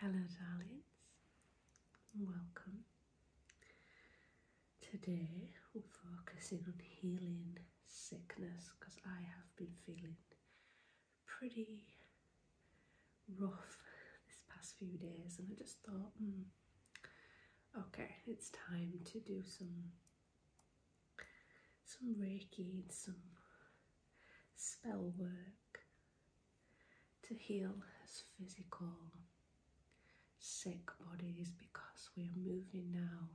Hello, darlings, welcome. Today we're focusing on healing sickness because I have been feeling pretty rough this past few days, and I just thought, hmm, Okay, it's time to do some some reiki some spell work to heal as physical sick bodies because we are moving now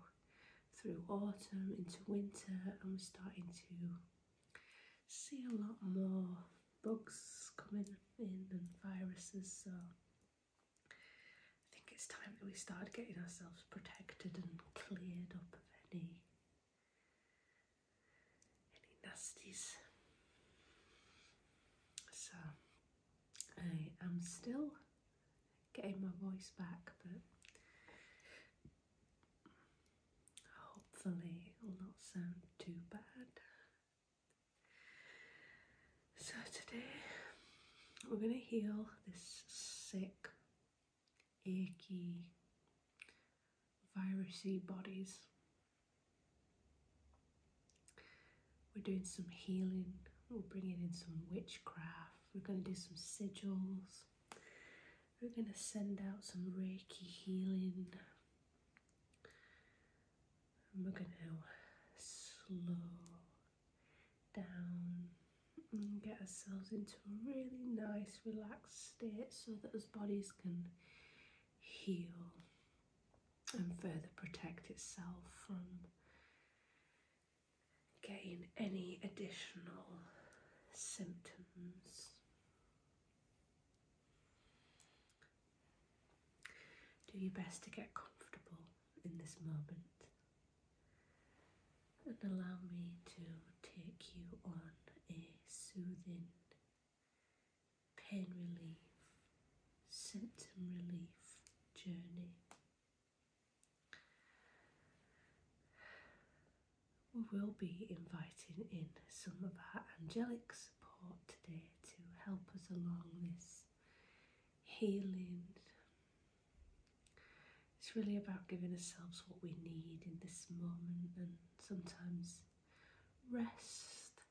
through autumn into winter and we're starting to see a lot more bugs coming in and viruses I think it's time that we start getting ourselves protected and cleared up of any any nasties. So I am still getting my voice back, but hopefully it will not sound too bad. So today we're going to heal this sick, achy, virusy bodies. We're doing some healing, we're bringing in some witchcraft, we're going to do some sigils, we're going to send out some Reiki healing, we're going to slow down and get ourselves into a really nice relaxed state so that as bodies can heal and further protect itself from getting any additional symptoms. Do your best to get comfortable in this moment and allow me to take you on a soothing pain relief, symptom relief journey. We will be inviting in some of our angelic support today to help us along this healing. It's really about giving ourselves what we need in this moment and sometimes rest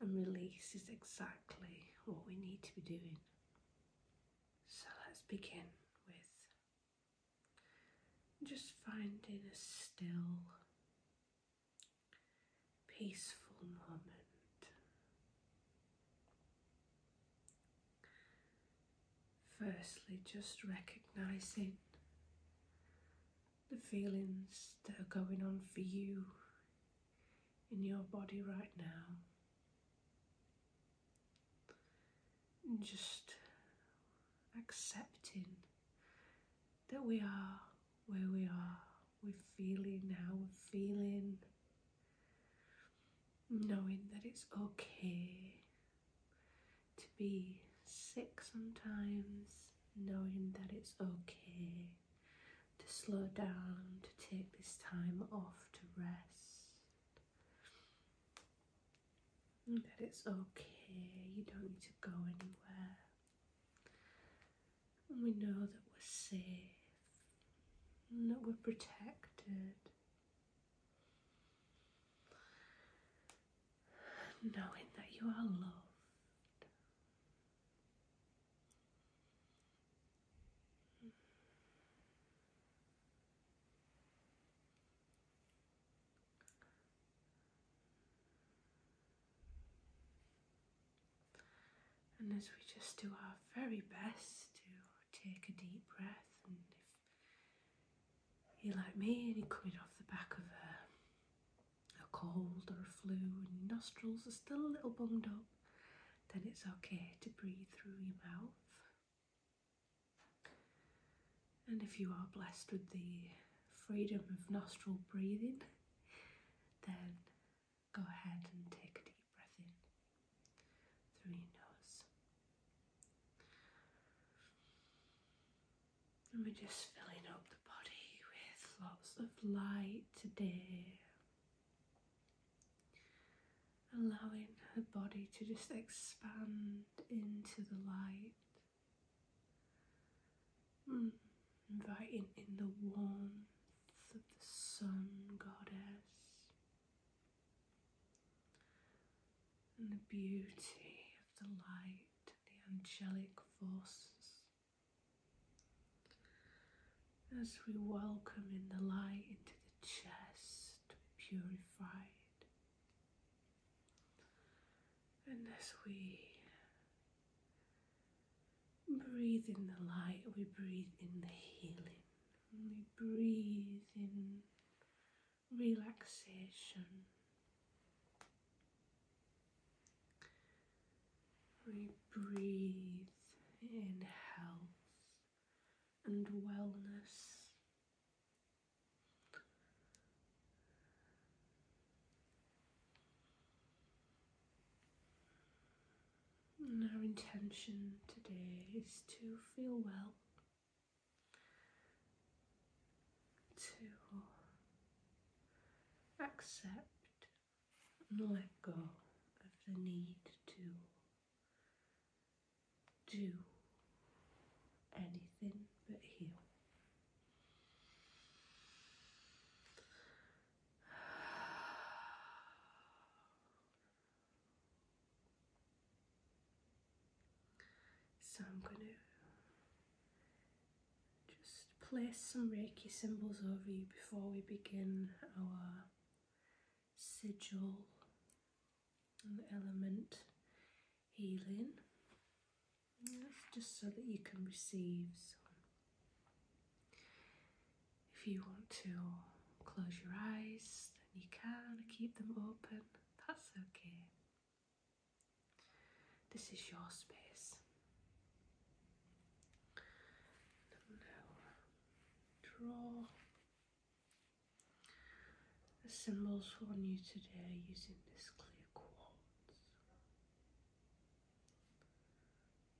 and release is exactly what we need to be doing. So let's begin with just finding a still peaceful moment. Firstly, just recognizing the feelings that are going on for you in your body right now. And just accepting that we are where we are. We're feeling now. we're feeling, knowing that it's okay to be sick sometimes, knowing that it's okay to slow down, to take this time off to rest. That it's okay, you don't need to go anywhere and we know that we're safe and that we're protected. Knowing that you are loved. And as we just do our very best to take a deep breath, and if you're like me and you're coming off the back of a, cold or a flu and your nostrils are still a little bunged up, then it's okay to breathe through your mouth. And if you are blessed with the freedom of nostril breathing, then Go ahead and take a deep breath in through your nose. And we're just filling up the body with lots of light today. Allowing the body to just expand into the light. Hmm. inviting in the warmth of the sun goddess and the beauty of the light and the angelic forces. As we welcome in the light into the chest, purified, and as we breathe in the light, we breathe in the healing, we breathe in relaxation. We breathe in health and wellness our intention today is to feel well, to accept and let go of the need to do anything but heal. So I'm going to just place some Reiki symbols over you before we begin our sigil and element healing. just so that you can receive some if you want to close your eyes, then you can keep them open, that's okay. This is your space. draw the symbols for you today using this clear quartz.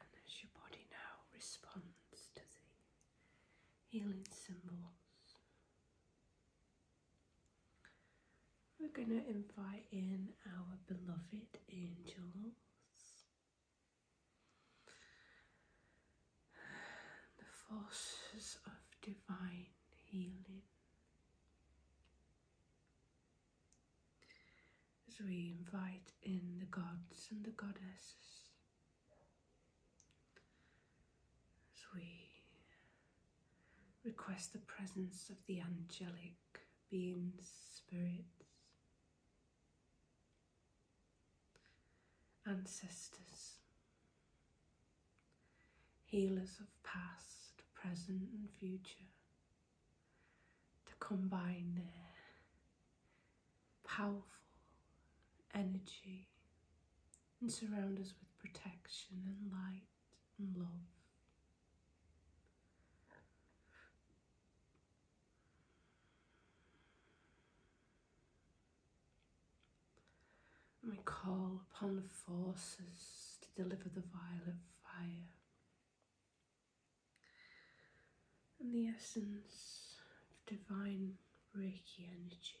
And as your body now responds to the healing symbols, we're going to invite in our beloved angels. The forces of divine healing as we invite in the gods and the goddesses, as we request the presence of the angelic beings, spirits, ancestors, healers of past, present, and future to combine their powerful energy and surround us with protection and light and love. we call upon the forces to deliver the violet and the essence of divine Reiki energy.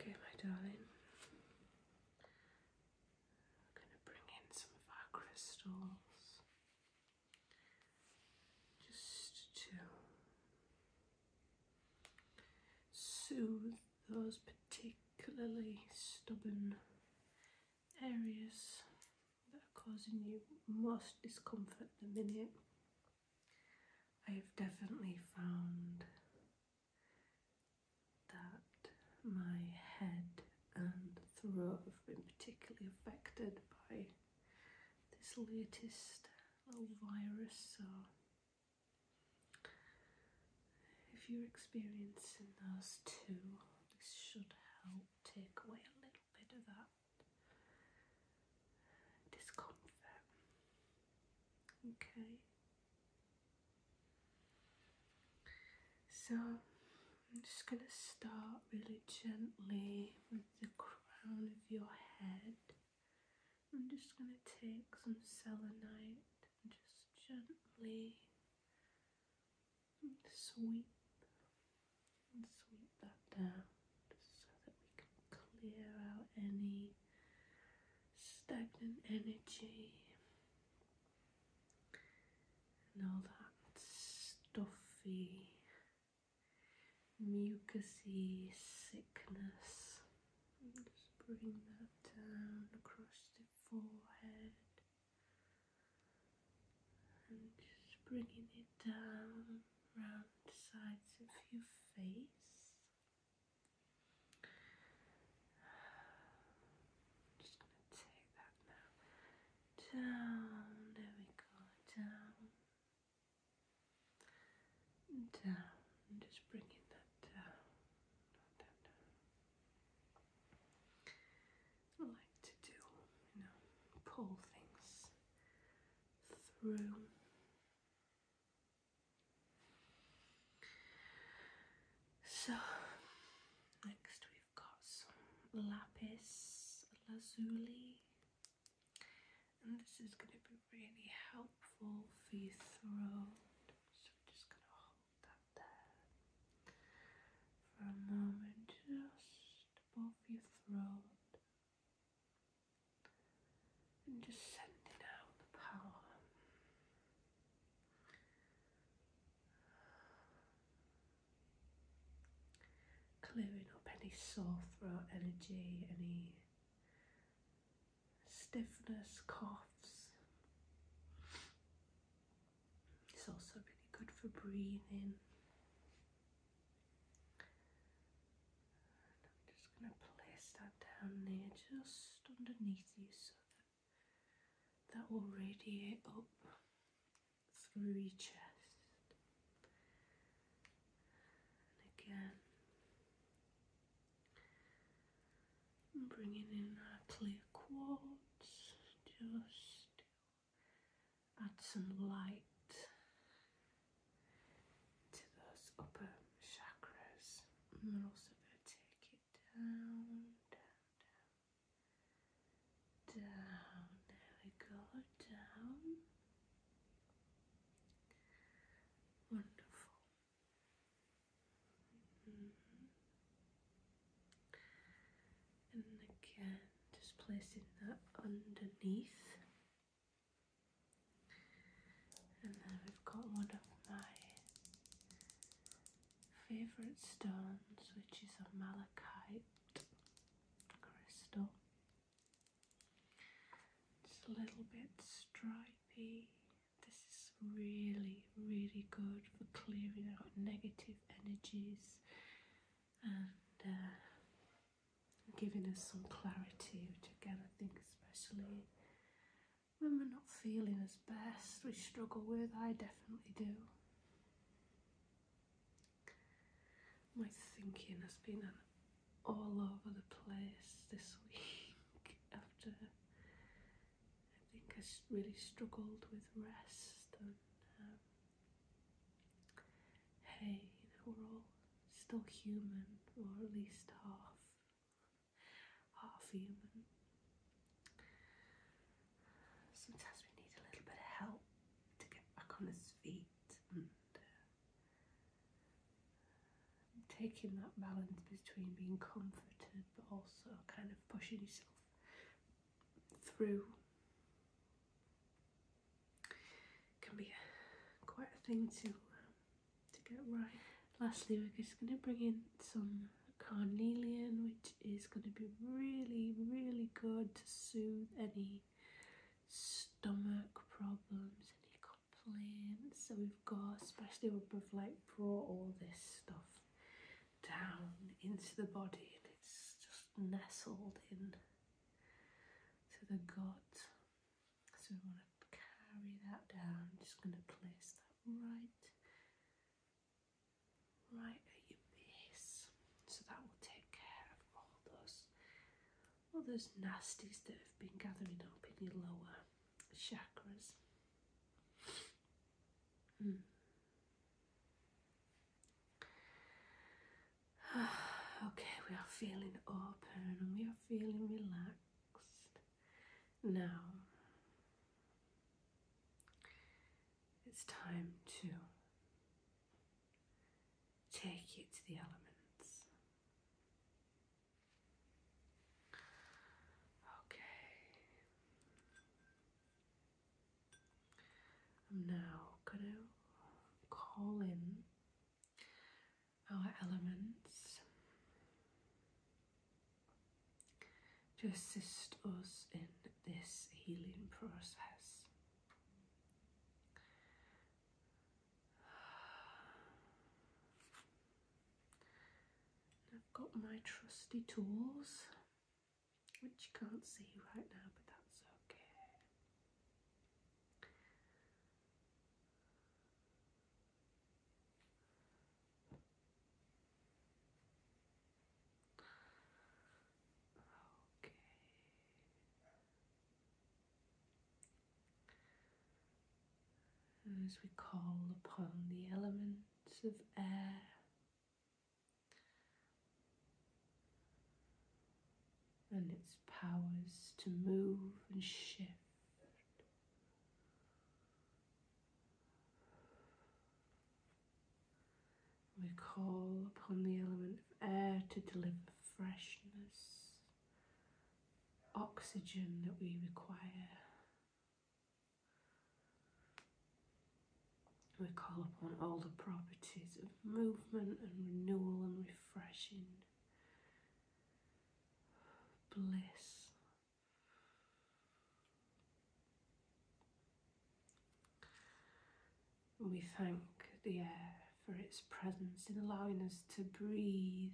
Okay, my darling. We're going to bring in some of our crystals just to soothe those particularly stubborn areas that are causing you most discomfort at the minute. I have definitely found that my head and throat have been particularly affected by this latest little virus, so if you're experiencing those two, this should help take away a little bit of that discomfort. Okay. So I'm just going to start really gently with the crown of your head. I'm just going to take some selenite and just gently sweep and sweep that down just so that we can clear out any stagnant energy and all that stuffy mucousy sickness. just bring that down across the forehead and just bringing it down around the sides of your face. just going to take that now down. There we go, down down, uh, just bringing that down. Uh, uh, I like to do, you know, pull things through. So, next we've got some lapis lazuli and this is going to be really helpful for your throat. So I'm just going to hold that there for a moment, just above your throat, and just sending out the power. Clearing up any sore throat energy, any stiffness, coughs. It's also really good for breathing. I'm just going to place that down there just underneath you so that that will radiate up through your chest. again, and bringing in our clear quartz just to add some light to those upper chakras. And we also going to take it down, down, down. There we go, down. Wonderful. And again, just placing that underneath. And then we've got one of my favourite stones, which is a malachite crystal. It's a little bit stripy. This is really, really good for clearing out negative energies and uh, giving us some clarity, which again I think especially when we're not feeling as best, we struggle with, I definitely do. My thinking has been all over the place this week after I think I really struggled with rest and um, hey, we're all still human, or at least half, half human. Sometimes we need a little bit of help to get back on his feet uh, taking that balance between being comforted but also kind of pushing yourself through can be quite a thing to to get right. Lastly, we're just going to bring in some carnelian, which is going to be really, really good to soothe any stomach problems, any plain. So we've got, especially we've like brought all this stuff down into the body and it's just nestled in to the gut. So we want to carry that down. just going to place that right, right at your base. So that will take care of all those all those nasties that have been gathering up in your lower chakras. Hmm. okay, we are feeling open and we are feeling relaxed. Now it's time to take it to the elements. Okay. I'm now gonna call in our elements to assist us in this healing process. I've got my trusty tools, which you can't see right now, but that's okay. Okay. As we call upon the elements of air, and its powers to move and shift. We call upon the element of air to deliver freshness oxygen that we require. We call upon all the properties of movement and renewal and refreshing, bliss. We thank the air for its presence in allowing us to breathe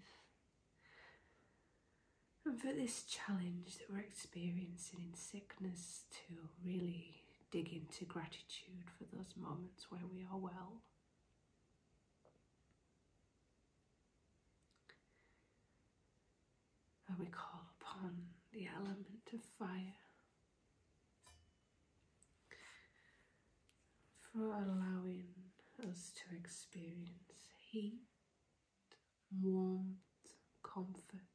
and for this challenge that we're experiencing in sickness to really dig into gratitude for those moments where we are well. And we call upon the element of fire for allowing us to experience heat, warmth, comfort,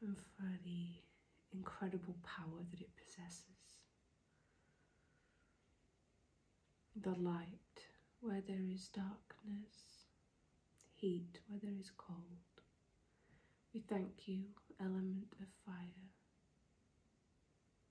and for the incredible power that it possesses. The light where there is darkness, heat where there is cold. We thank you, element of fire.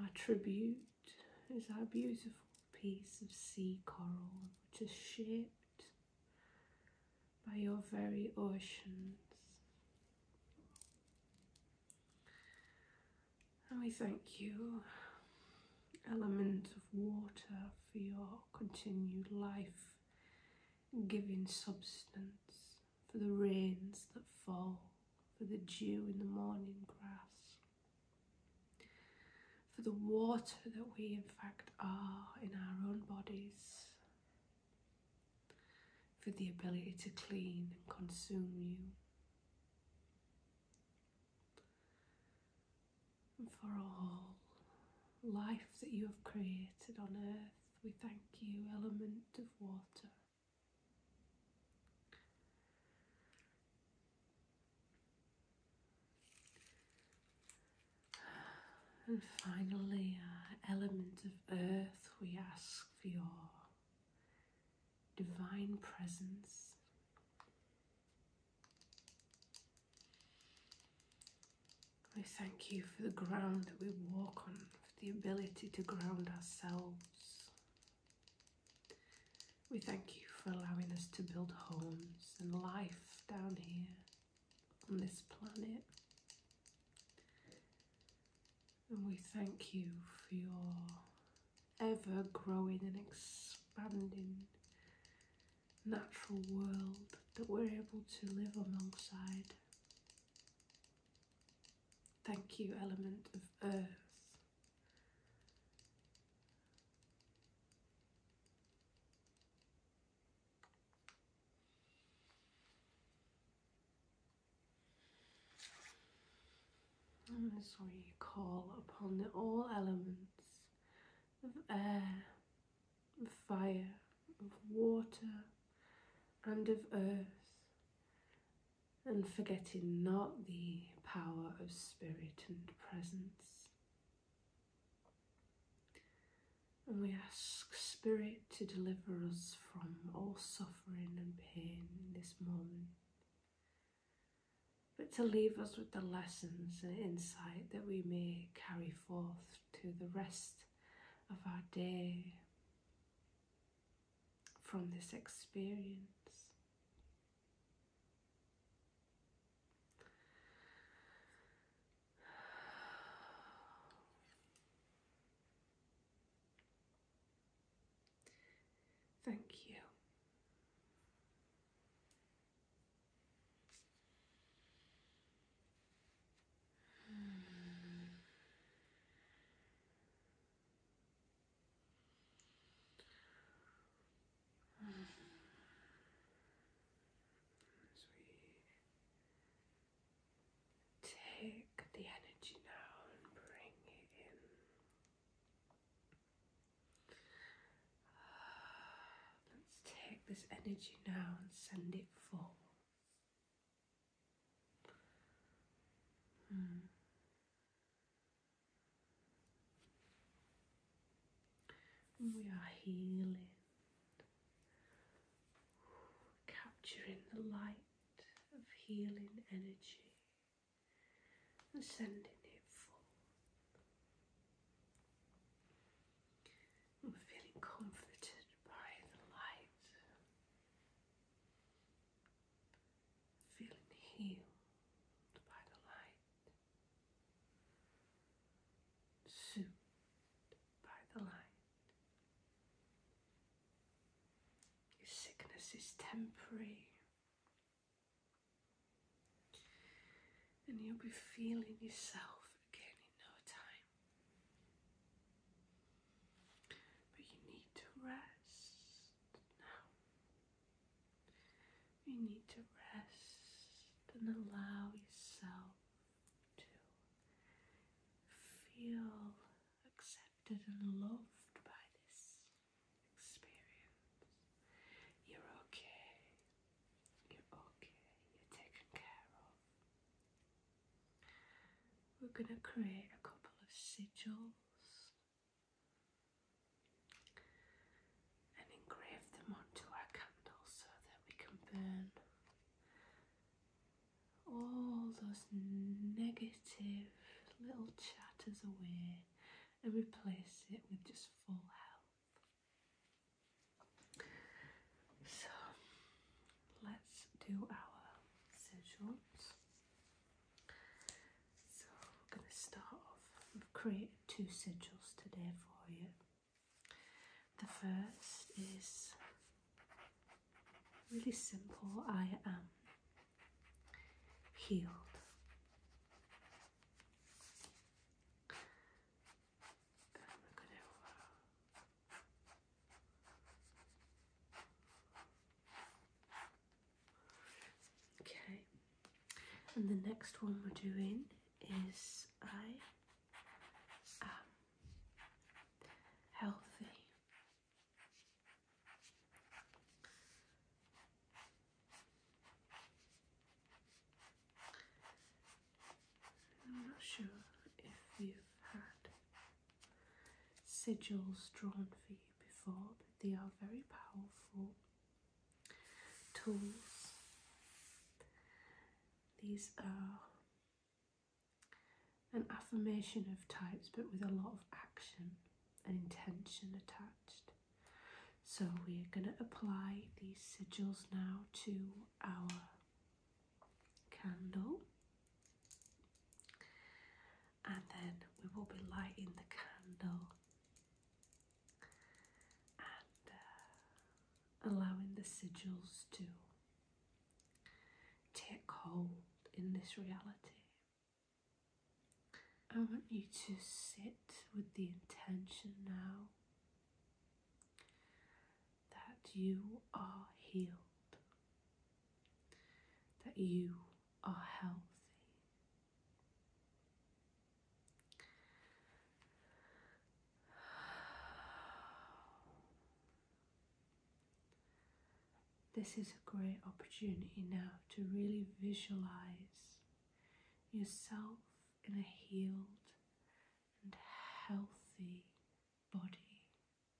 Our tribute is our beautiful piece of sea coral, which is shaped by your very oceans. And we thank you, element of water, for your continued life giving substance for the rains that fall, for the dew in the morning grass, for the water that we in fact are in our own bodies, for the ability to clean and consume you. for all life that you have created on earth, we thank you, element of water. And finally, uh, element of earth, we ask for your divine presence. We thank you for the ground that we walk on, for the ability to ground ourselves we thank you for allowing us to build homes and life down here on this planet. And we thank you for your ever growing and expanding natural world that we're able to live alongside Thank you, element of earth. And this way call upon the all elements of air, of fire, of water, and of earth, and forgetting not the power of spirit and presence. And we ask Spirit to deliver us from all suffering and pain this moment, but to leave us with the lessons and insight that we may carry forth to the rest of our day from this experience. Thank you. As we take the energy now and bring it in. Let's take this energy now and send it forth. Hmm. We are healing, capturing the light of healing energy and sending it forth. We're feeling comforted by the light feeling healed by the light, soothed by the light. Your sickness is temporary. And you'll be feeling yourself again in no time. But you need to rest now. You need to rest and allow yourself to feel accepted and loved by this experience. You're okay. You're okay. You're taken care of. We're going to create a couple of sigils and engrave them onto our candle so that we can burn all those negative little chatters away and replace it with just full health. So let's do our sigils. So I'm going to start off. I've created two sigils today for you. The first is really simple I am healed. Okay, and the next one we're doing is I healthy. I'm not sure if you've had sigils drawn for you before, but they are very powerful tools. These are an affirmation of types, but with a lot of action and intention attached. So we're going to apply these sigils now to our candle and then we will be lighting the candle and uh, allowing the sigils to take hold in this reality. I want you to sit with the intention now that you are healed, that you are healthy. This is a great opportunity now to really visualize yourself in a healed and healthy body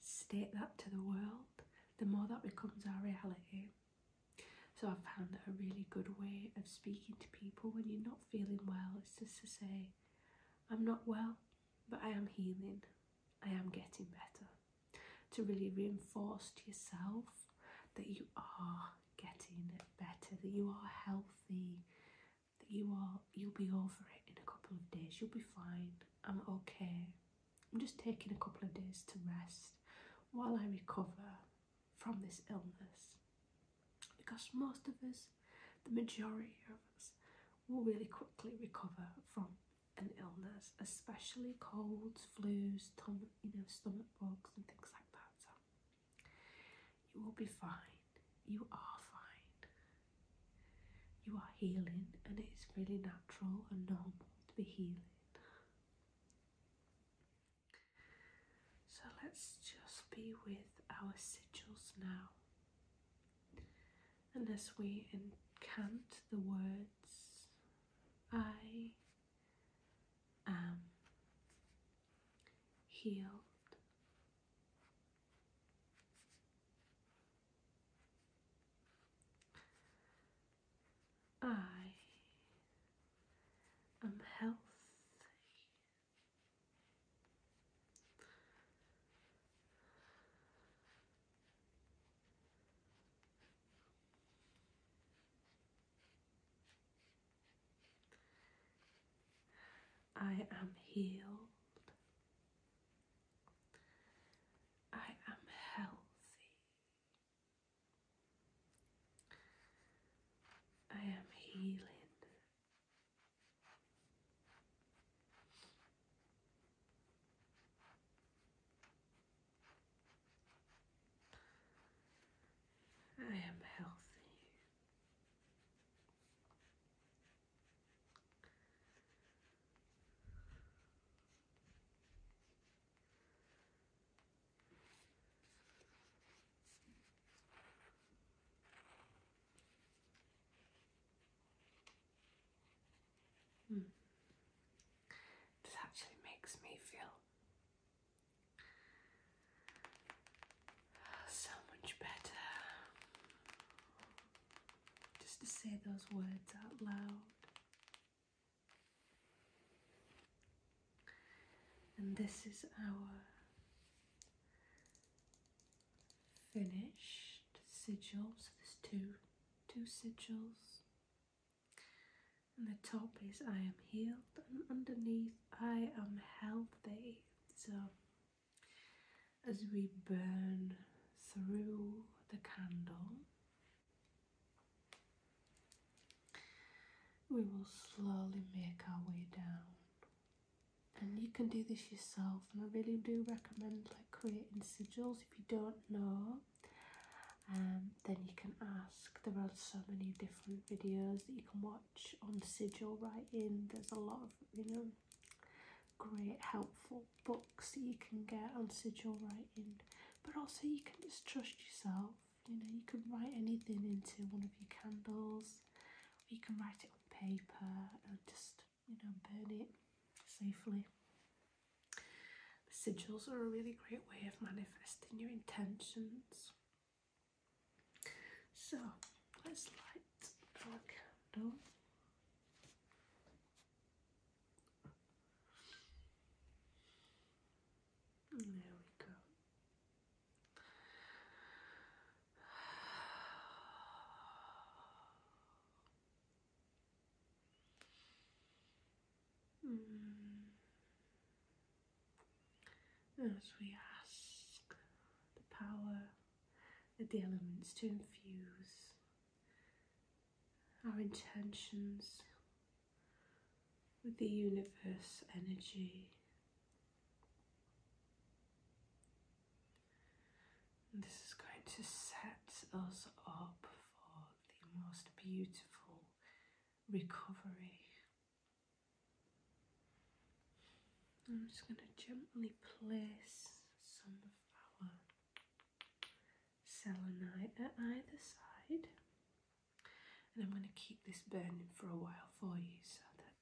state that to the world, the more that becomes our reality. So I've found that a really good way of speaking to people when you're not feeling well is just to say, I'm not well, but I am healing. I am getting better. To really reinforce to yourself that you are getting better, that you are healthy, that you are you'll be over it in a couple of days. You'll be fine. I'm okay. I'm just taking a couple of days to rest while I recover from this illness because most of us, the majority of us, will really quickly recover from an illness, especially colds, flus, you know, stomach bugs and things like that. So you will be fine. You are fine. You are healing and it is really natural and normal to be healing. So let's just be with our sigils now. And as we incant the words, I am healed. I am healthy. I am healed. I am healthy. I am healing. I am healthy. Mm. This actually makes me feel so much better just to say those words out loud. And this is our finished sigil. So there's two, two sigils. And the top is I am healed, and underneath I am healthy. So as we burn through the candle, we will slowly make our way down. And you can do this yourself, and I really do recommend like creating sigils if you don't know. And um, then you can ask. There are so many different videos that you can watch on sigil writing. There's a lot of you know great helpful books that you can get on sigil writing, but also you can just trust yourself. You know, you can write anything into one of your candles, you can write it on paper and just, you know, burn it safely. sigils are a really great way of manifesting your intentions. So let's light our candle. There we go. Hmm. As we ask the power of the elements to infuse our intentions with the universe energy. this is going to set us up for the most beautiful recovery. I'm just going to gently place some of selenite at either side. And I'm going to keep this burning for a while for you so that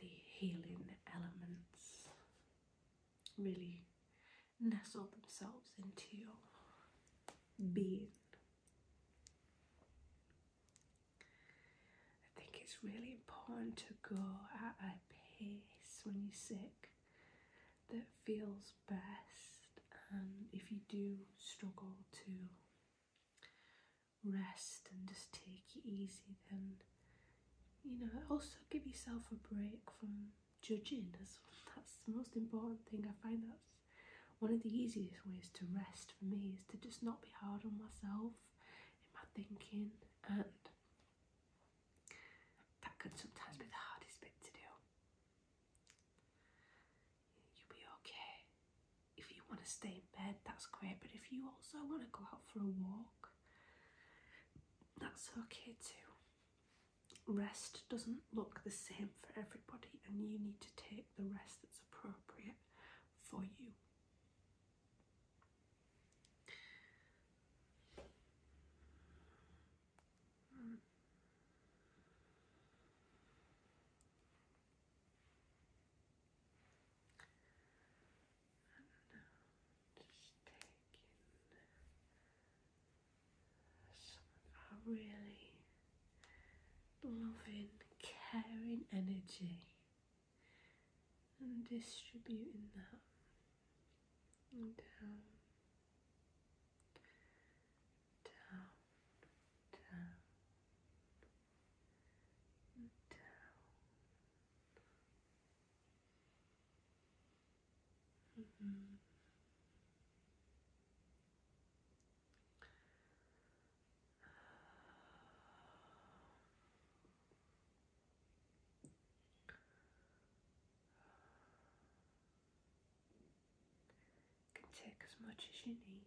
the healing elements really nestle themselves into your being. I think it's really important to go at a pace when you're sick that feels best, and um, if you do struggle to rest and just take it easy, then you know, also give yourself a break from judging. That's, the most important thing. I find that's one of the easiest ways to rest for me is to just not be hard on myself in my thinking and that can sometimes be the hardest bit to do. You'll be okay. If you want to stay in bed, that's great, but if you also want to go out for a walk, that's okay too. Rest doesn't look the same for everybody, and you need to take the rest that's appropriate for you. Uh, just taking some uh, really loving, caring energy and distributing that and down, down, down, down. -hmm can take as much as you need.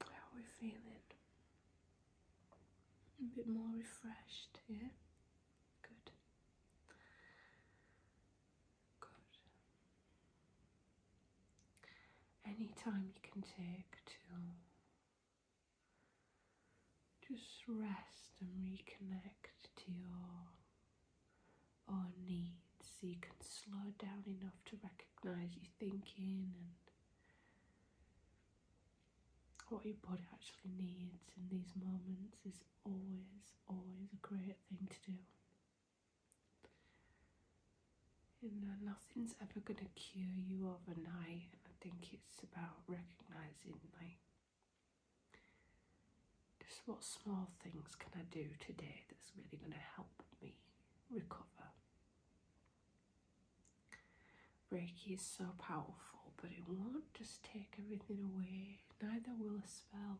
How are we feeling? A bit more refreshed, yeah? Good. Good. Any time you can take to just rest and reconnect to your or needs. So you can slow down enough to recognize you're thinking and what your body actually needs in these moments is always, always a great thing to do. You know, nothing's ever going to cure you overnight, and I think it's about recognizing, like, just what small things can I do today that's really going to help me recover. Reiki is so powerful, but it won't just take everything away, neither will a spell.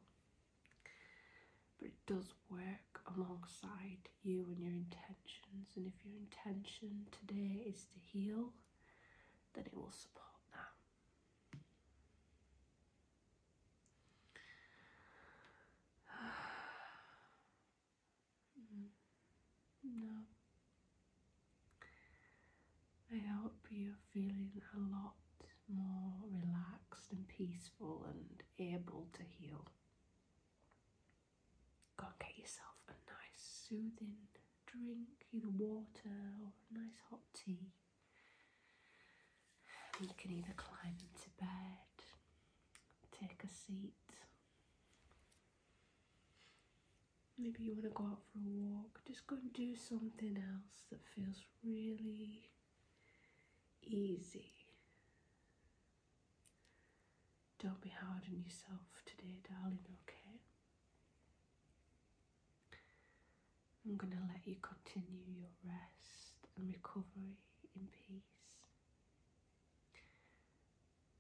But it does work alongside you and your intentions, and if your intention today is to heal, then it will support that. no. I hope you're feeling a lot more relaxed and peaceful and able to heal. Go and get yourself a nice soothing drink, either water or a nice hot tea. You can either climb into bed, take a seat. Maybe you want to go out for a walk. Just go and do something else that feels really easy. Don't be hard on yourself today, darling, okay? I'm going to let you continue your rest and recovery in peace.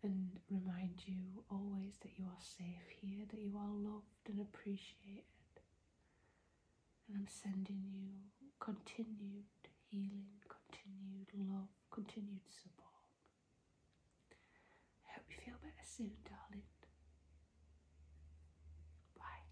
And remind you always that you are safe here, that you are loved and appreciated. And I'm sending you continued healing, continued love, continued support. I hope you feel better soon, darling. Bye.